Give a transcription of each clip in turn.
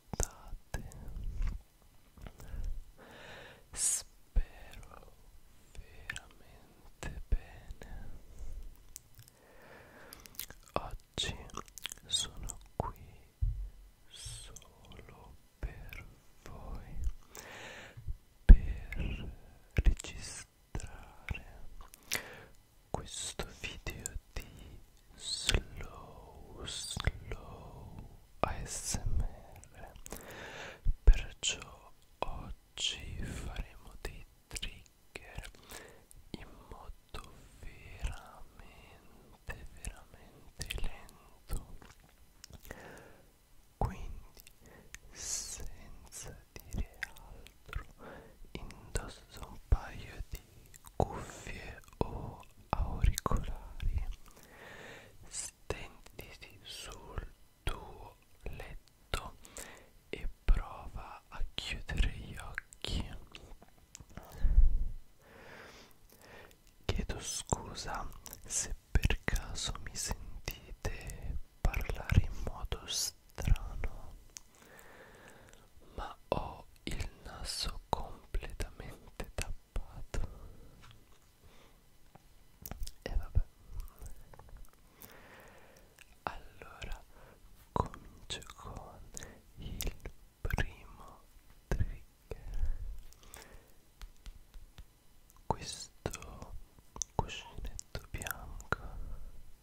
state spero veramente bene oggi sono qui solo per voi per registrare questo video di slow slow ASMR perciò oggi faremo dei trigger in modo veramente veramente lento quindi senza dire altro indosso un paio di cuffie o auricolari stenditi sul tuo letto e prova a chiudere gli occhi chiedo scusa se per caso mi sentite parlare in modo strano ma ho il naso completamente tappato e vabbè allora comincio con il primo trigger questo cuscinetto bianco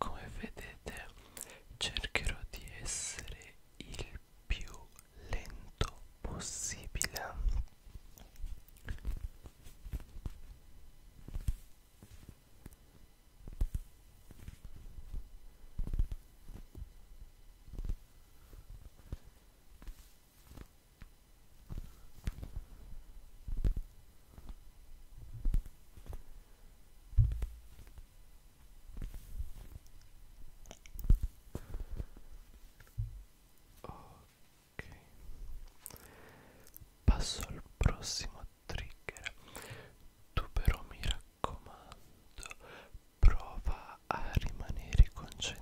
Come vedete cercherò di essere il più lento possibile Ok, passo al prossimo trigger. Tu però mi raccomando, prova a rimanere concentrato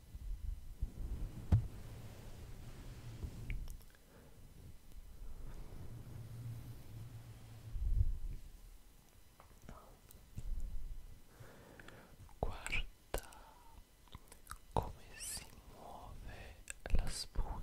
Guarda come si muove la spugna.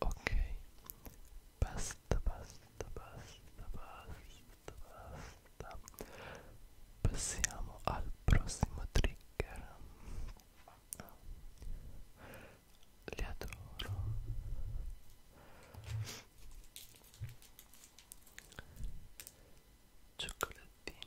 Ok, basta, basta, basta, basta, basta. Passiamo al prossimo trigger. Li adoro. Cioccolatini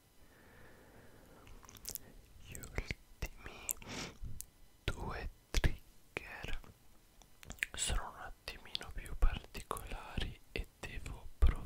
gli ultimi due trigger sono un attimino più particolari e devo provarli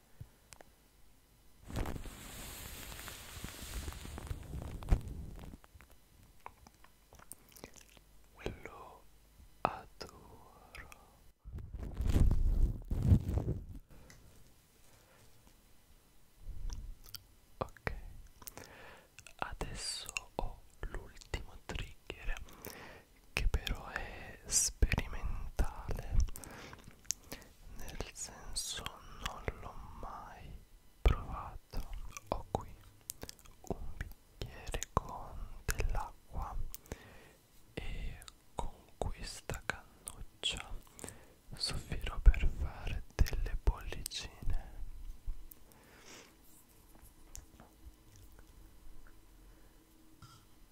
Lo adoro. Ok. Adesso ho l'ultimo trigger che però è sperimentale nel senso non l'ho mai provato ho qui un bicchiere con dell'acqua e con questa cannuccia soffierò per fare delle bollicine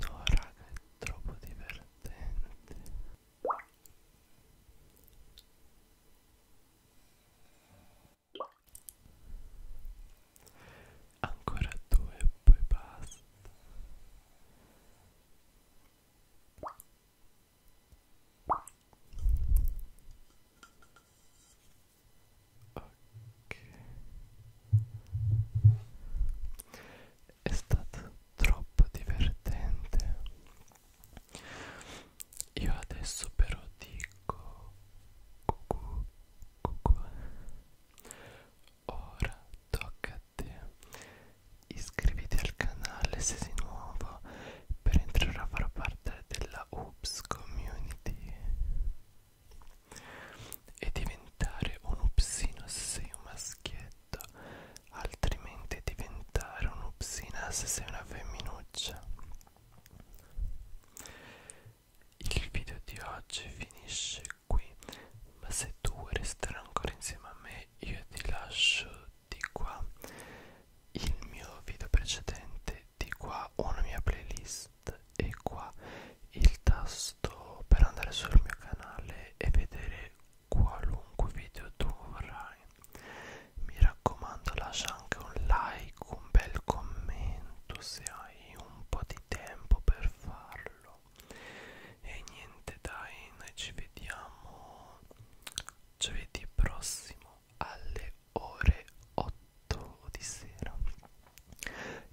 No raga è troppo divertente Ancora due e poi basta ok è stato troppo divertente io adesso però dico cucù cucù ora tocca a te iscriviti al canale se sei nuovo per entrare a far parte della U Noobs Community e diventare un upsino se sei un maschietto altrimenti diventare un'upsina se sei una femminuccia il video di oggi finisce qui ma se tu vuoi restare ancora insieme a me io ti lascio di qua il mio video precedente di qua una mia playlist e qua il tasto per andare sul mio canale e vedere qualunque video tu vorrai mi raccomando lascia anche un like un bel commento se hai un po di tempo per farlo e niente dai noi ci vediamo giovedì prossimo alle ore 8 di sera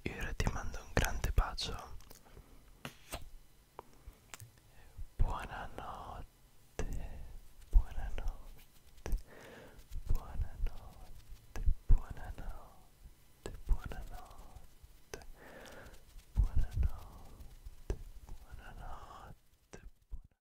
io ora ti mando un grande bacio buonanotte buonanotte buonanotte buonanotte buonanotte buonanotte buonanotte